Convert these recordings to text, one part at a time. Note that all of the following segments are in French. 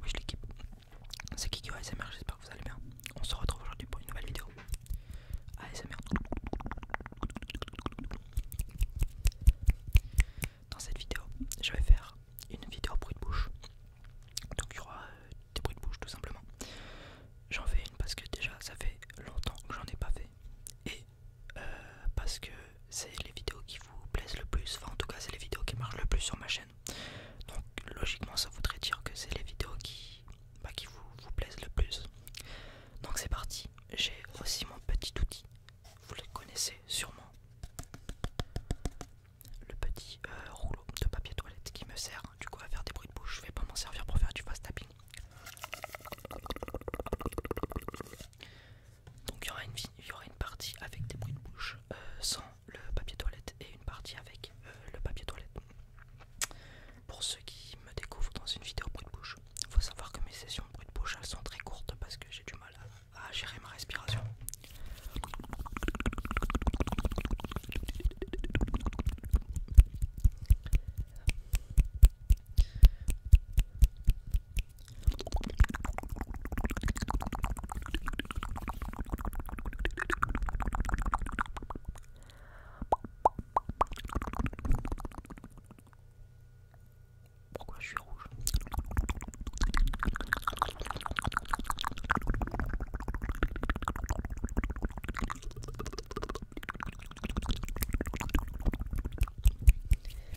Wesh l'équipe, c'est Kikyo ASMR, j'espère que vous allez bien. On se retrouve aujourd'hui pour une nouvelle vidéo ASMR. Dans cette vidéo, je vais faire une vidéo bruit de bouche. Donc il y aura euh, des bruits de bouche tout simplement. J'en fais une parce que déjà ça fait longtemps que j'en ai pas fait. Et euh, parce que c'est les vidéos qui vous plaisent le plus, enfin en tout cas c'est les vidéos qui marchent le plus sur ma chaîne. Donc logiquement ça voudrait dire que c'est les vidéos qui, bah, vous, vous plaisent le plus. Donc c'est parti, j'ai aussi mon petit outil, vous le connaissez sûrement. Le petit euh, rouleau de papier toilette qui me sert du coup à faire des bruits de bouche. Je vais pas m'en servir pour faire du fast tapping donc il y, aura une, partie avec des bruits de bouche euh, sans le papier toilette et une partie avec euh, le papier toilette. Pour ceux qui me découvrent dans une vidéo bruit de bouche, il faut savoir que mes sessions de bruit de bouche elles sont très courtes parce que j'ai du mal à gérer ma respiration. Pourquoi je suis rouge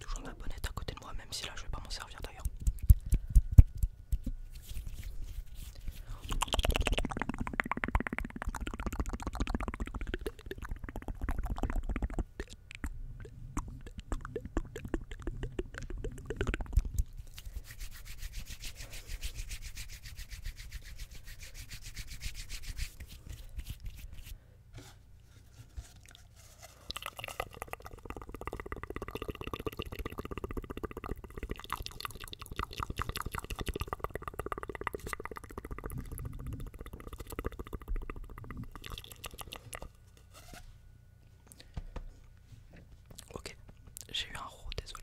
Toujours ma bonnette à côté de moi, même si là je vais pas m'en servir d'ailleurs. Ok, j'ai eu un roux, désolé.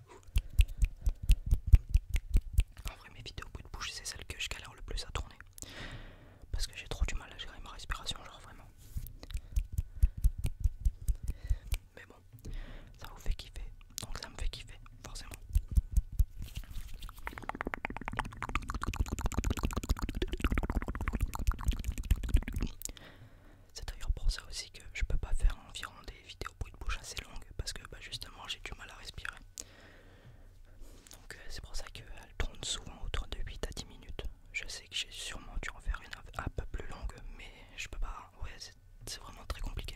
En vrai, mes vidéos bout de bouche, c'est celles que je galère le plus à tourner. Parce que j'ai trop du mal à gérer ma respiration, genre vraiment. Mais bon, ça vous fait kiffer, donc ça me fait kiffer, forcément. C'est d'ailleurs pour ça aussi que je peux pas faire environ des les vidéos bruit de bouche assez longues parce que bah, justement j'ai du mal à respirer. Donc euh, c'est pour ça qu'elle euh, tourne souvent autour de 8 à 10 minutes. Je sais que j'ai sûrement dû en faire une un peu plus longue, mais je peux pas. Ouais, c'est vraiment très compliqué.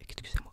Excusez-moi.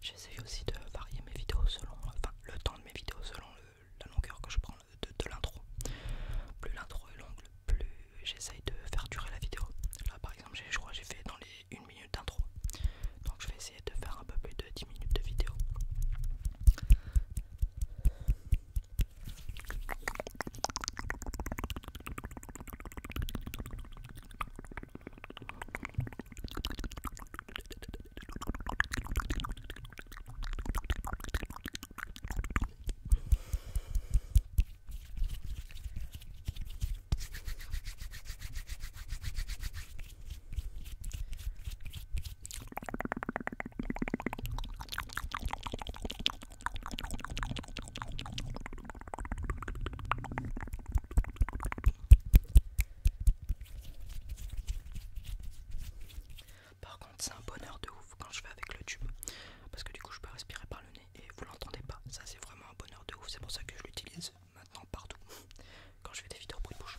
J'essaye aussi de varier mes vidéos selon, le temps de mes vidéos selon la longueur que je prends de, l'intro. Plus l'intro est longue, plus j'essaye de faire durer la vidéo. Là par exemple, je crois que j'ai fait dans les 1 minute d'intro. Donc je vais de faire un peu plus de 10 minutes de vidéo. Par contre, c'est un bonheur de ouf quand je fais avec le tube parce que du coup, je peux respirer par le nez et vous l'entendez pas. Ça, c'est vraiment un bonheur de ouf. C'est pour ça que je l'utilise maintenant partout quand je fais des vidéos pour de bouche.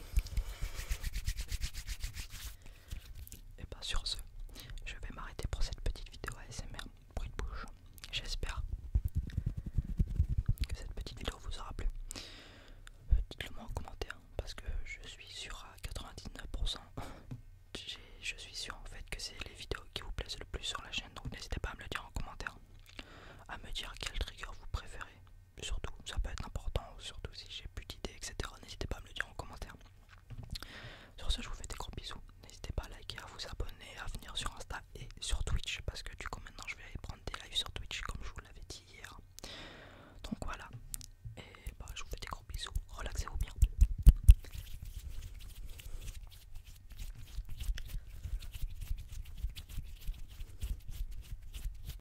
Et eh bah ben, sur ce, je vais m'arrêter pour cette petite vidéo ASMR, bruit de bouche. J'espère que cette petite vidéo vous aura plu. Dites-le moi en commentaire parce que je suis sûr à 99%. je suis sûr en fait que c'est les vidéos qui vous plaisent le plus sur la chaîne donc n'hésitez pas à me le dire en commentaire à me dire quel trigger vous préférez surtout, ça peut être important, surtout si j'ai plus d'idées, etc. N'hésitez pas à me le dire en commentaire. Sur ce, je vous fais des gros bisous. N'hésitez pas à liker, à vous abonner, à venir sur Insta et sur Twitch, parce que du coup, maintenant, je vais aller prendre des lives sur Twitch, comme je vous l'avais dit hier. Donc voilà, et bah, je vous fais des gros bisous. Relaxez-vous bien.